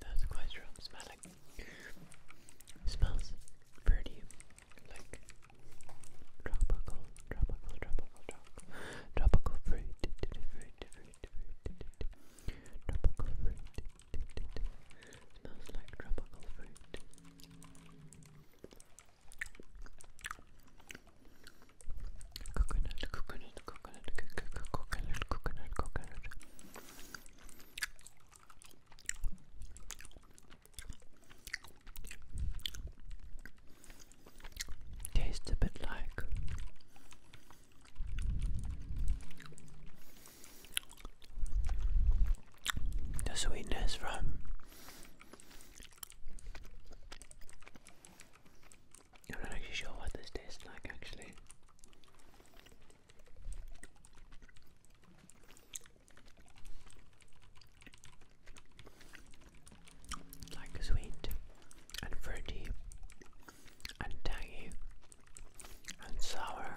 That's quite strong smelling. Smells pretty like tropical, tropical, tropical, tropical, tropical fruit, tropical fruit. Smells like tropical fruit. Coconut, coconut, coconut, coconut, coconut, coconut, coconut. Tastes a bit like the sweetness from I'm not actually sure what this tastes like actually. like sweet and fruity and tangy and sour.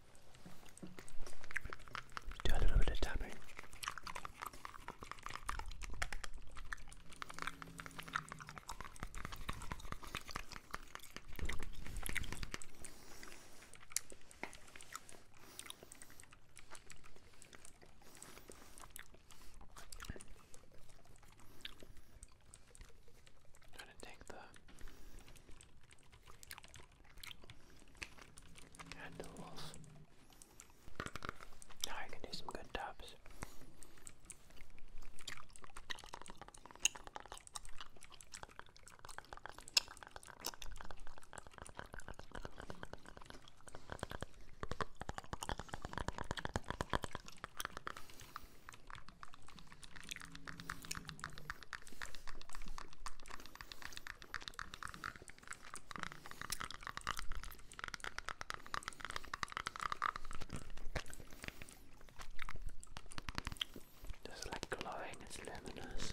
Do a little bit of tapping. i to take the Handles. Now I can do some good taps. Just like glowing, it's luminous.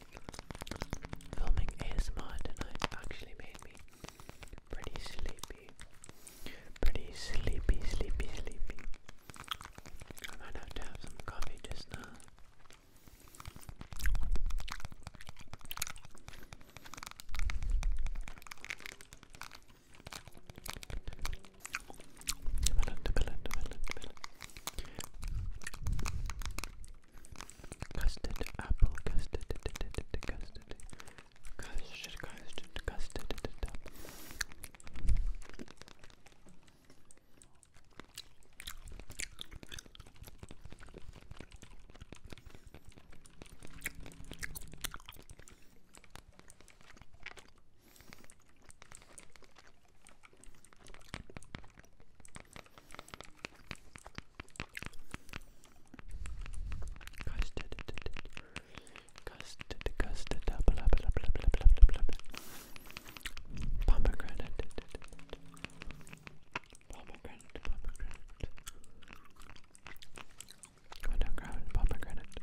Filming ASMR tonight actually made me pretty sleepy. Pretty sleepy, sleepy, sleepy. I might have to have some coffee just now custard, apple, custard, custard, custard, custard, custard. Custard, custard, custard, blah blah blah blah blah blah blah blah. Pomegranate, pomegranate, pomegranate. Pomegranate, pomegranate, pomegranate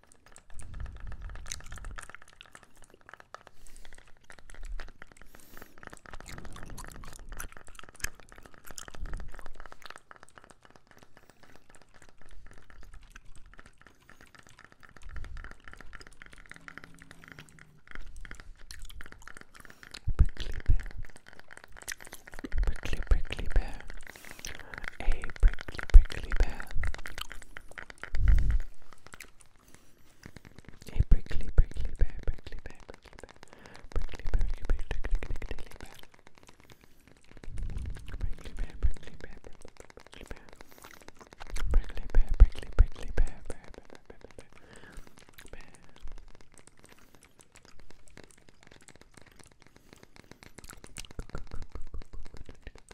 Prickly bear, prickly prickly bear, a prickly prickly bear. A prickly, prickly bear, prickly bear, prickly bear, prickly bear, prickly bear, prickly bear, prickly bear, prickly bear, prickly bear, prickly bear, prickly, prickly bear, bear, bear, bear, bear, bear.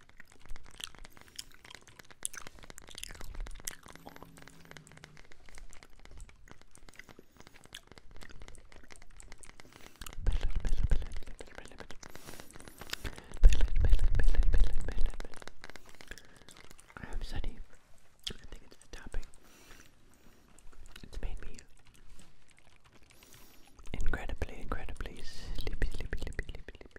I have sunny. I think it's the topping. It's made me incredibly, incredibly sleepy, sleepy, sleepy, sleepy, sleepy.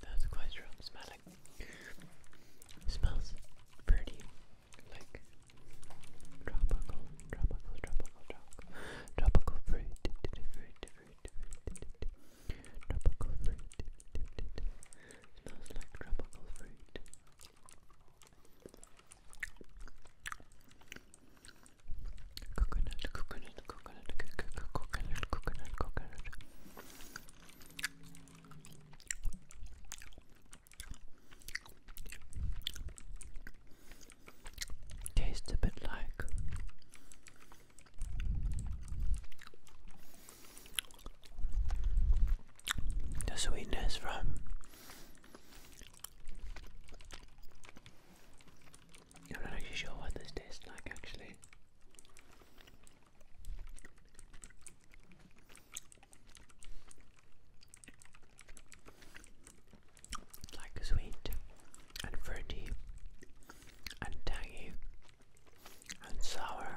That's quite strong smelling. smells pretty like tropical, tropical, tropical, tropical, tropical fruit, fruit, Smells like tropical fruit. Tastes a bit like the sweetness from I'm not actually sure what this tastes like actually. like sweet and fruity and tangy and sour.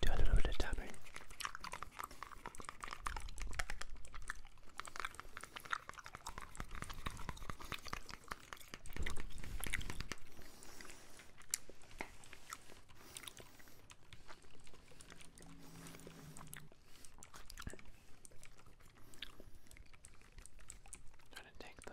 Do a little bit of tapping. I'm trying to take the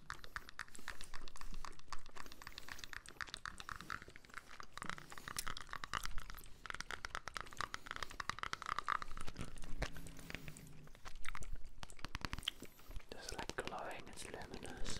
Just like glowing, it's luminous.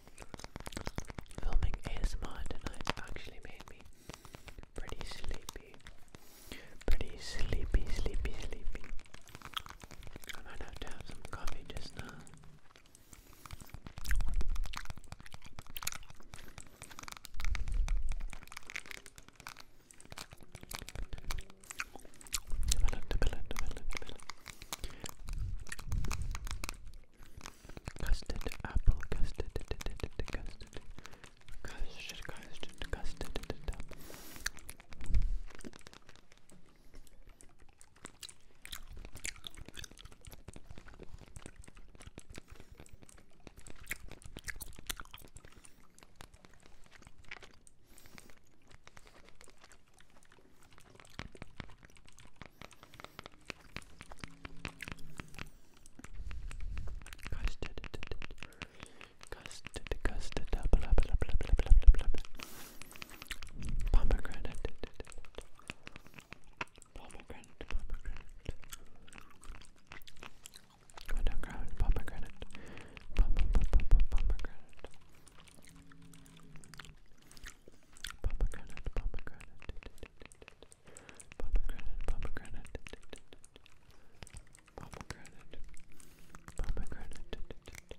Filming ASMR tonight actually made me pretty sleepy. Pretty sleepy, sleepy, sleepy. I might have to have some coffee just now. Custard, apple, custard, custard, custard, custard, custard. Custard, custard, custard, blah, blah, blah, blah, blah, blah, blah, blah. Pomegranate, pomegranate, pomegranate. Pomegranate, pomegranate, pomegranate pomegranate, pomegranate, pomegranate, pomegranate, pomegranate, pomegranate.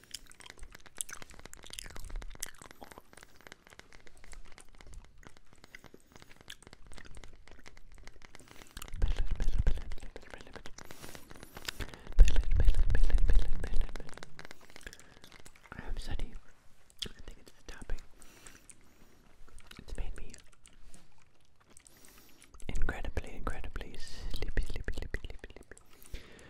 I am sunny. I think it's the topping. It's made me incredibly, incredibly sleepy, sleepy, sleepy, sleepy, sleepy.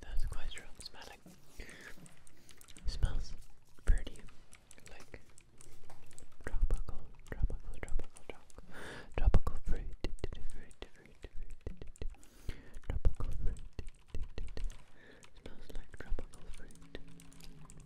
That's quite strong smelling. smells pretty, like tropical, tropical, tropical, tropical, tropical fruit, tropical fruit. Smells like tropical fruit.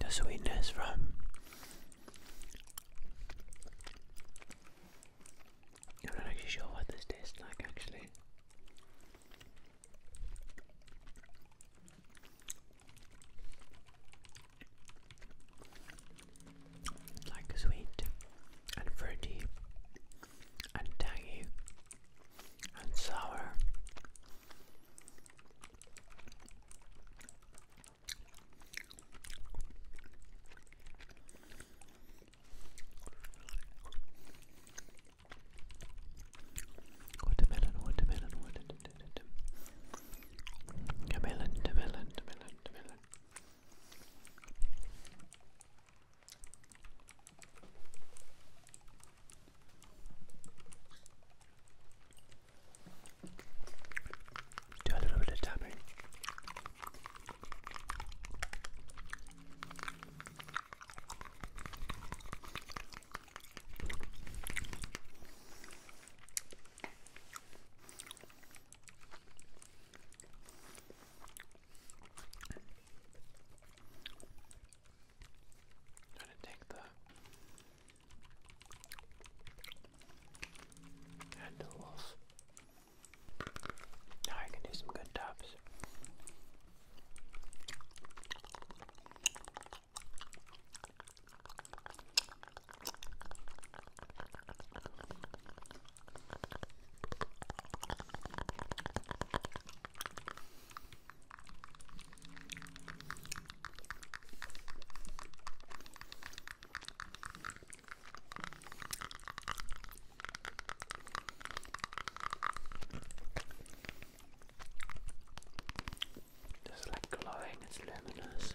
the sweetness from I'm not actually sure what this tastes like actually. Like sweet and fruity and tangy and sour Watermelon, watermelon, watermelon. Melon, melon, melon, melon. Do a little bit of tapping. Trying to take the and the wolf. Now I can do some good tops. Just like glowing, it's luminous.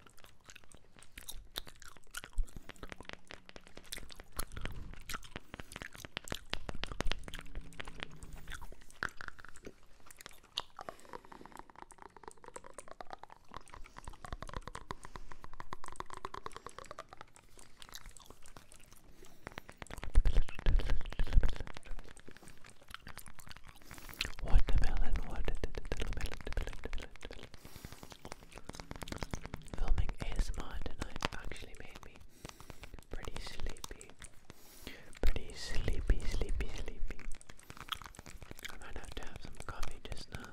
Watermelon, watermelon, watermelon, watermelon, watermelon, Filming ASMR tonight actually made me pretty sleepy. Pretty sleepy, sleepy, sleepy. I might have to have some coffee just now.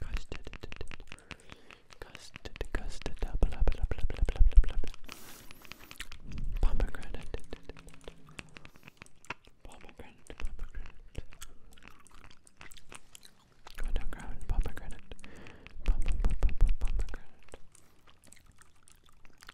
Custard, custard, custard, blah blah blah blah blah blah blah blah. Pomegranate, pomegranate, pomegranate. Go down ground, pomegranate, pomegranate, pomegranate.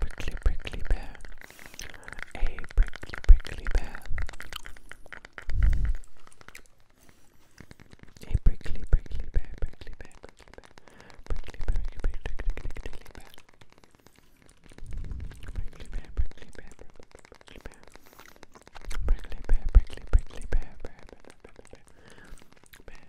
prickly prickly bear! A prickly prickly pear. A prickly prickly pear, prickly pear, prickly pear, prickly pear, prickly pear, prickly pear, prickly pear, prickly pear, prickly pear, prickly pear, prickly prickly pear, pear, pear, pear, pear, pear, pear,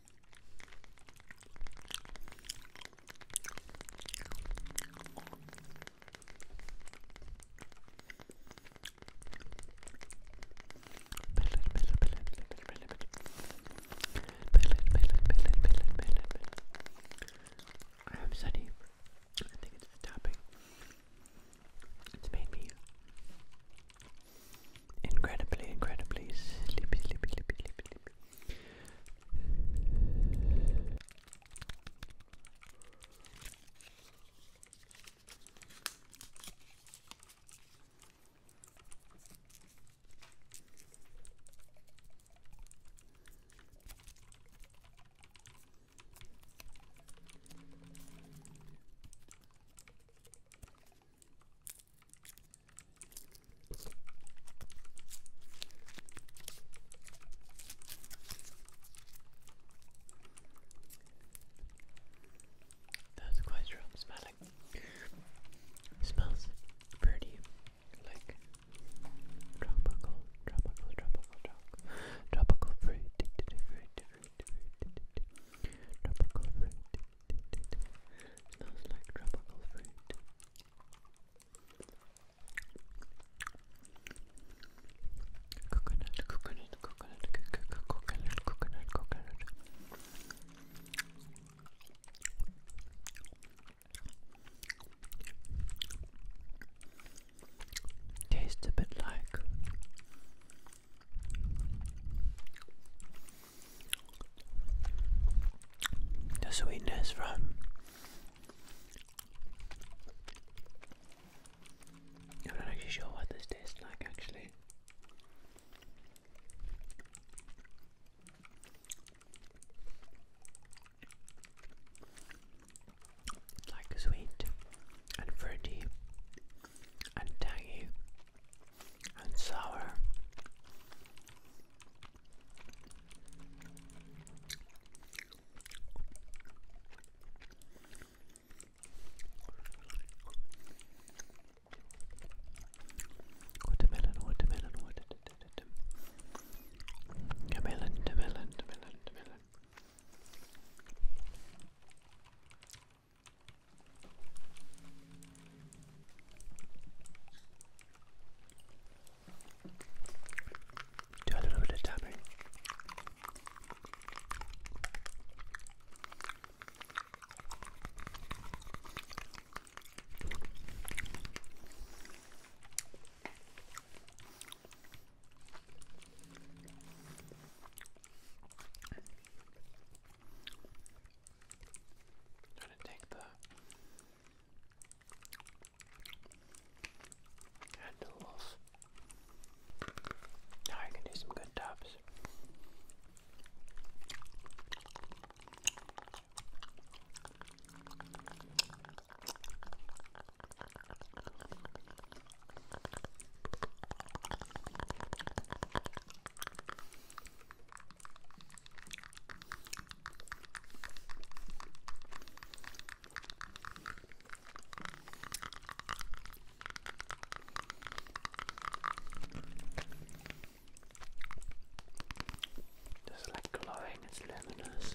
I have sunny. I think it's the topping. It's made me incredibly, incredibly sleepy, sleepy, sleepy, sleepy, sleepy. That's quite strong smelling. smells pretty like tropical, tropical, tropical, tropical, tropical fruit. Smells like tropical fruit. Coconut, coconut, coconut, coconut, coconut, coconut, coconut. Tastes a bit like the sweetness from I'm not actually sure what this tastes like actually. like sweet and fruity and tangy and sour. Watermelon, watermelon, watermelon, watermelon, watermelon, watermelon. Do a little bit of tapping. Try to take the handle off. Now I can do some good taps. Just like glowing, it's luminous.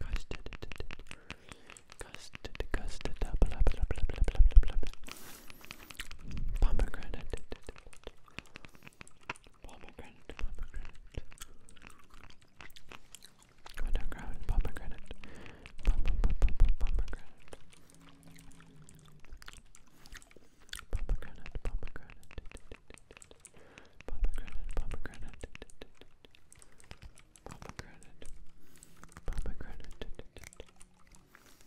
Custard, custard, custard, blah blah blah blah blah blah blah blah. Pomegranate, pomegranate, pomegranate. Underground pomegranate, pomegranate, pomegranate, Pomegranate, pomegranate, pomegranate, pomegranate, pomegranate, pomegranate.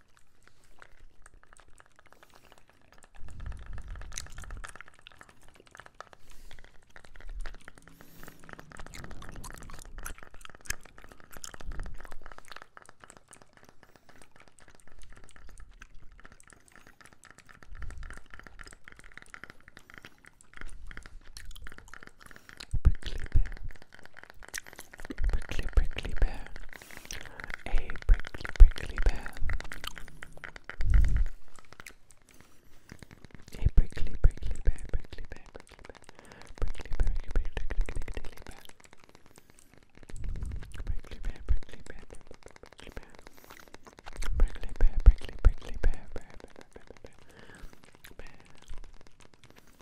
Prickly bear. Prickly prickly bear a prickly prickly pear. A prickly prickly pear, prickly pear, prickly pear, prickly pear, prickly pear, prickly pear, prickly pear, prickly pear, prickly pear, prickly pear, prickly prickly pear, pear, pear,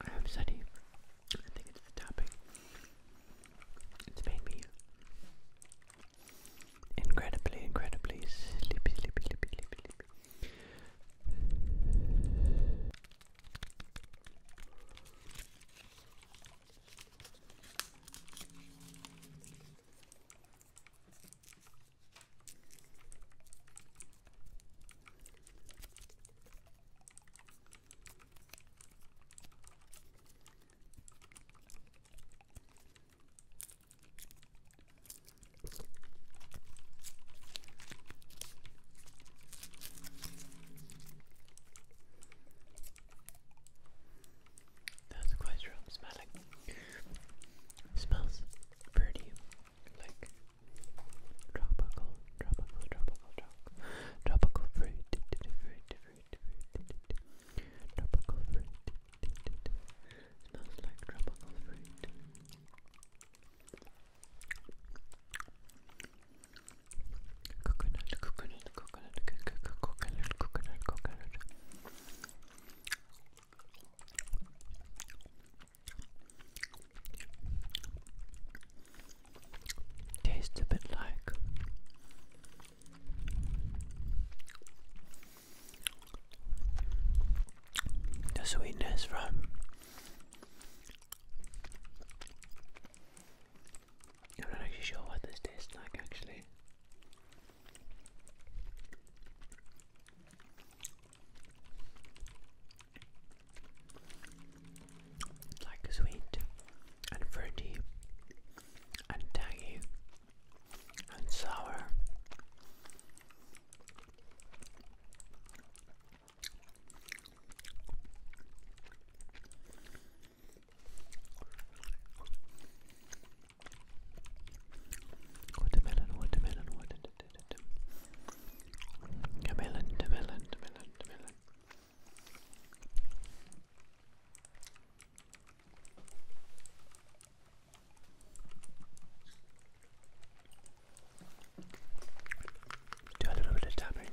I am sunny. I think it's the topic. It's made me incredibly, incredibly sleepy, sleepy, sleepy, sleepy, sleepy. That's quite strong smelling. smells pretty, like tropical, tropical, tropical, tropical, tropical fruit, tropical fruit. Smells like tropical fruit. Coconut, coconut, coconut, coconut, coconut, coconut, coconut. Tastes a bit like the sweetness from I'm not actually sure what this tastes like actually. It's like sweet and fruity and tangy and sour. Watermelon, watermelon, watermelon. Melon, melon, melon, melon. Do a little bit of tapping.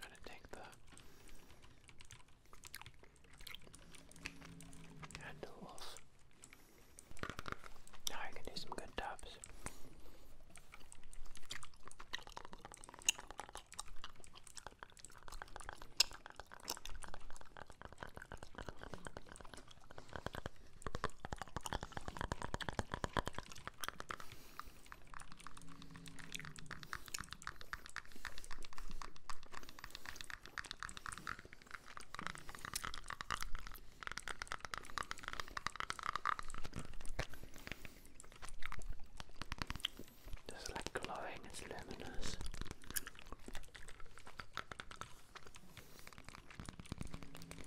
Try to take the handles. Now I can do some good tubs. Just like glowing, it's luminous.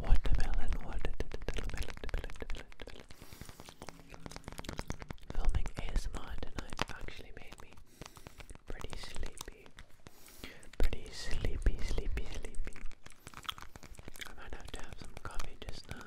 Watermelon, watermelon, watermelon. Filming ASMR tonight's actually made me pretty sleepy. Pretty sleepy, sleepy, sleepy. I might have to have some coffee just now.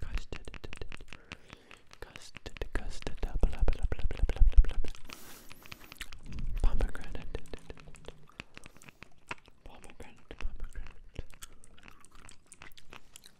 Custard, custard, custard, blah blah blah blah blah blah blah blah. Pomegranate, pomegranate, pomegranate.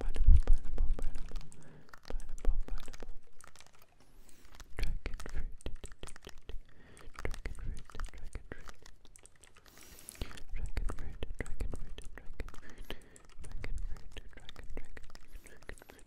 Pineapple, pineapple, pineapple, pineapple, pineapple. Dragon fruit, dragon fruit, dragon fruit. Dragon fruit, dragon fruit, dragon fruit, dragon fruit, dragon, dragon, dragon fruit.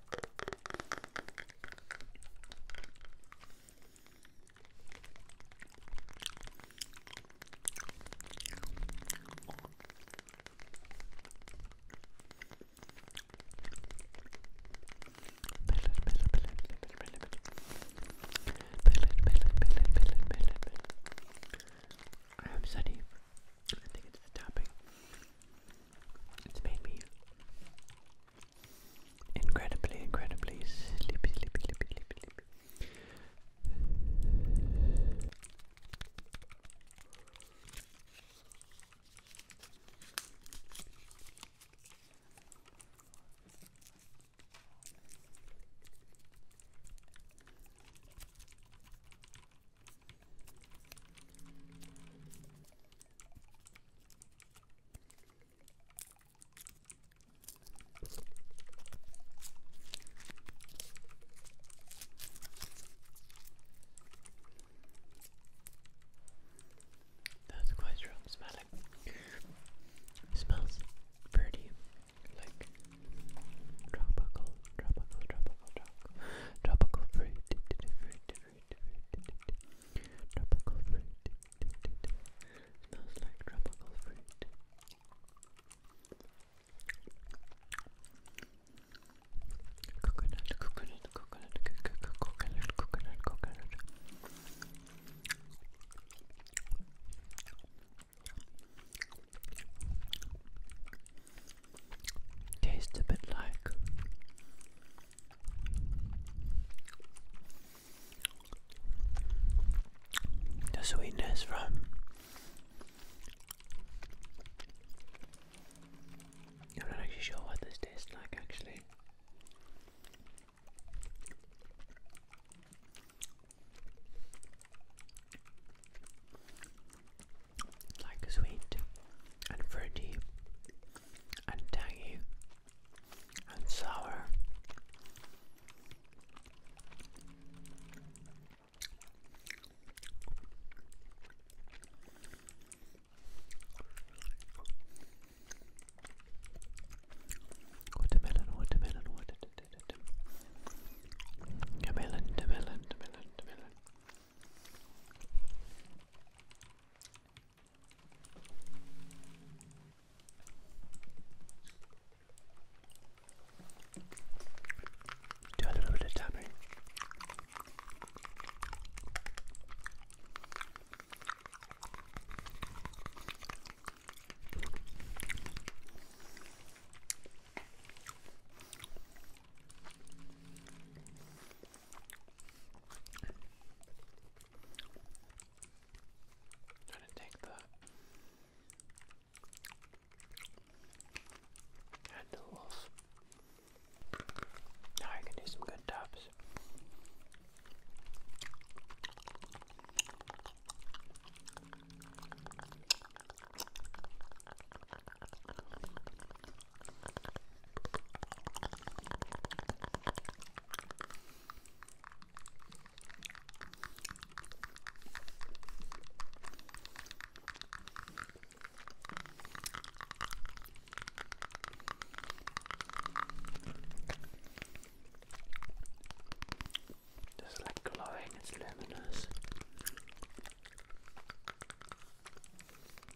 I'm sunny. I think it's the topping. It's made me Incredibly, incredibly sleepy, sleepy, sleepy, sleepy, sleepy. That's quite strong smelling. smells pretty, like tropical, tropical, tropical, tropical, tropical fruit, fruit tropical fruit. Smells like tropical fruit. Coconut, coconut, coconut, coconut, coconut, coconut, coconut. Tastes a bit like the sweetness from I'm not actually sure what this tastes like actually. Like sweet and fruity and tangy and sour. Watermelon, watermelon, watermelon, watermelon, watermelon. Do a little bit of tapping. Trying to take the handle off. Now I can do some good taps. Just like glowing, it's luminous.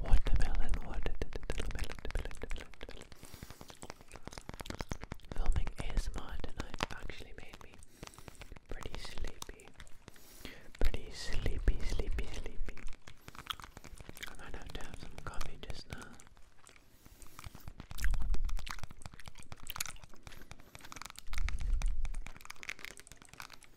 Watermelon, watermelon, watermelon. Filming ASMR tonight actually made me pretty sleepy. Pretty sleepy, sleepy, sleepy. I might have to have some coffee just now.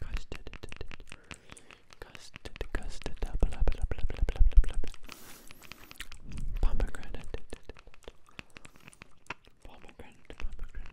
Custard, custard, custard, blah blah blah blah blah blah blah blah. Pomegranate, pomegranate, pomegranate.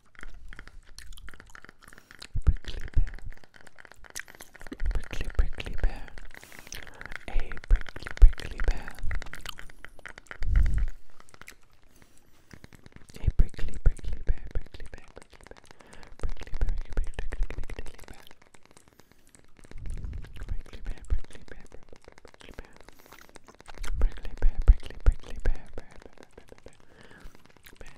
Prickly Bear. Prickly, prickly bear. A prickly, prickly bear. A prickly, prickly bear, prickly bear, prickly bear. Prickly, prickly, prickly, prickly, prickly bear. Prickly bear, prickly bear, prickly bear. Prickly bear, prickly, prickly bear, bear, bear, bear, bear, bear. Bear,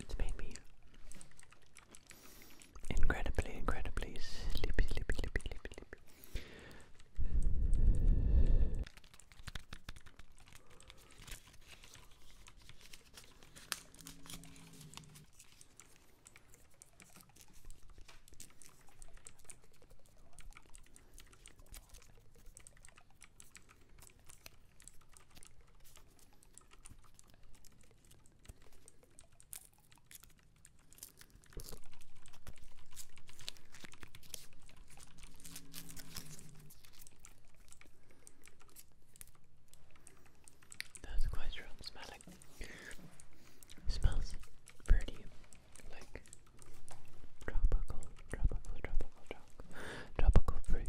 It's made me incredibly, incredibly sleepy, sleepy, sleepy, sleepy, sleepy. That's quite strong smelling. smells pretty like tropical, tropical, tropical, tropical, tropical fruit,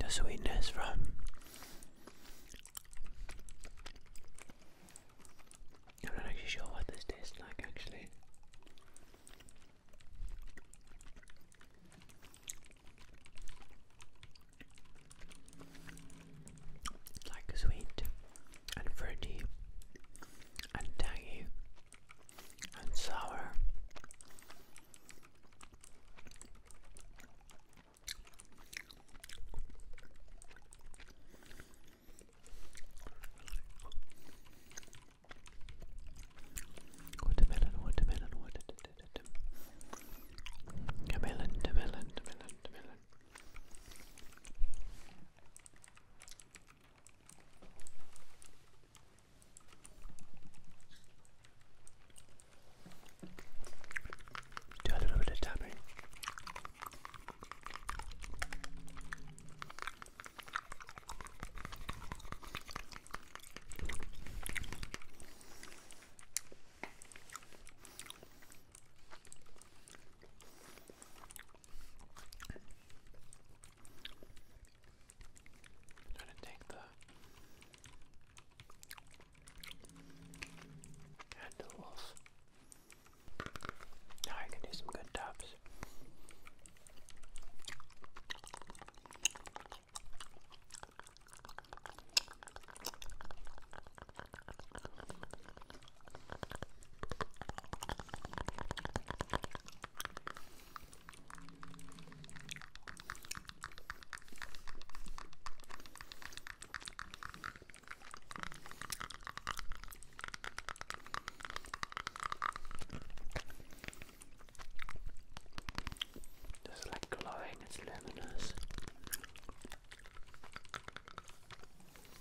the sweetness from I'm not actually sure what this tastes like actually. It's like sweet and fruity and tangy and sour. Watermelon, watermelon, watermelon, watermelon, watermelon, watermelon. Do a little bit of tapping. Trying to take the handle off. Now I can do some good taps. Just like glowing, it's luminous.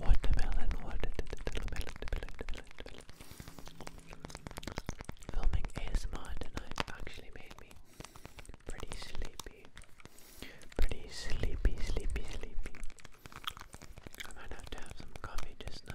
Watermelon, watermelon, Filming ASMR tonight actually made me pretty sleepy. Pretty sleepy, sleepy, sleepy. I might have to have some coffee just now.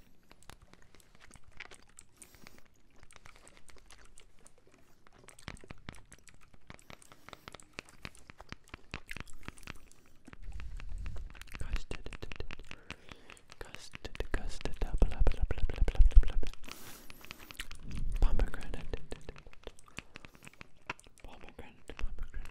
Custard, custard, custard, blah blah blah blah blah blah blah blah. Pomegranate, pomegranate, pomegranate.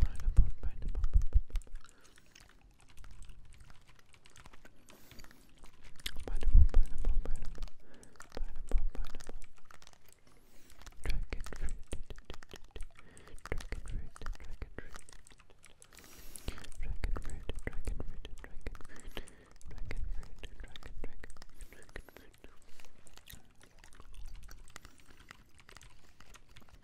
pineapple, pineapple, pineapple, pineapple, pineapple, pineapple, pineapple. Dragon fruit, dragon fruit, dragon fruit, dragon fruit, dragon fruit, dragon fruit, dragon fruit, dragon, dragon, dragon fruit.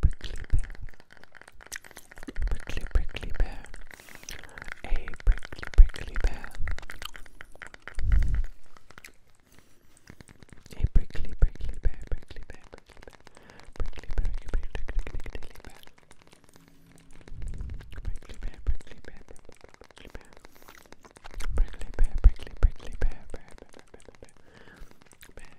Brickley Bear. Prickly, prickly bear. A prickly, prickly bear. A prickly, prickly bear, prickly bear, prickly bear. Prickly, prickly, prickly, prickly, prickly bear. Prickly bear, prickly bear, prickly bear. Prickly bear, prickly, bear, bear, bear, bear, bear, bear. Bear,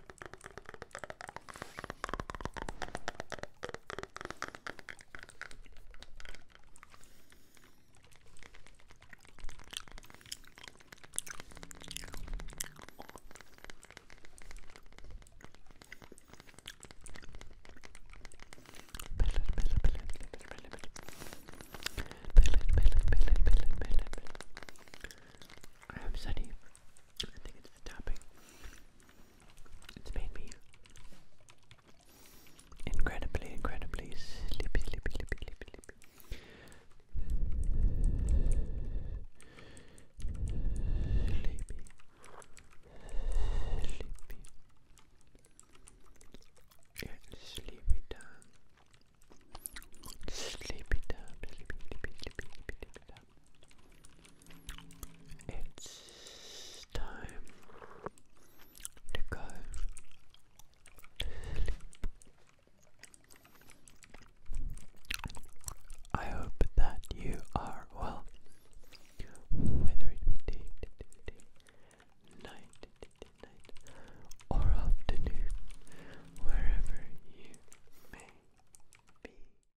I have sunny. I think it's the topping. It's made me incredibly, incredibly sleepy, sleepy, sleepy, sleepy, sleepy. Sleepy. Sleepy. Yeah, sleepy time. Sleepy time, sleepy, sleepy, sleepy, sleepy, sleepy time. It's time to go I hope that you are well, whether it be day, night, or afternoon, wherever you may be.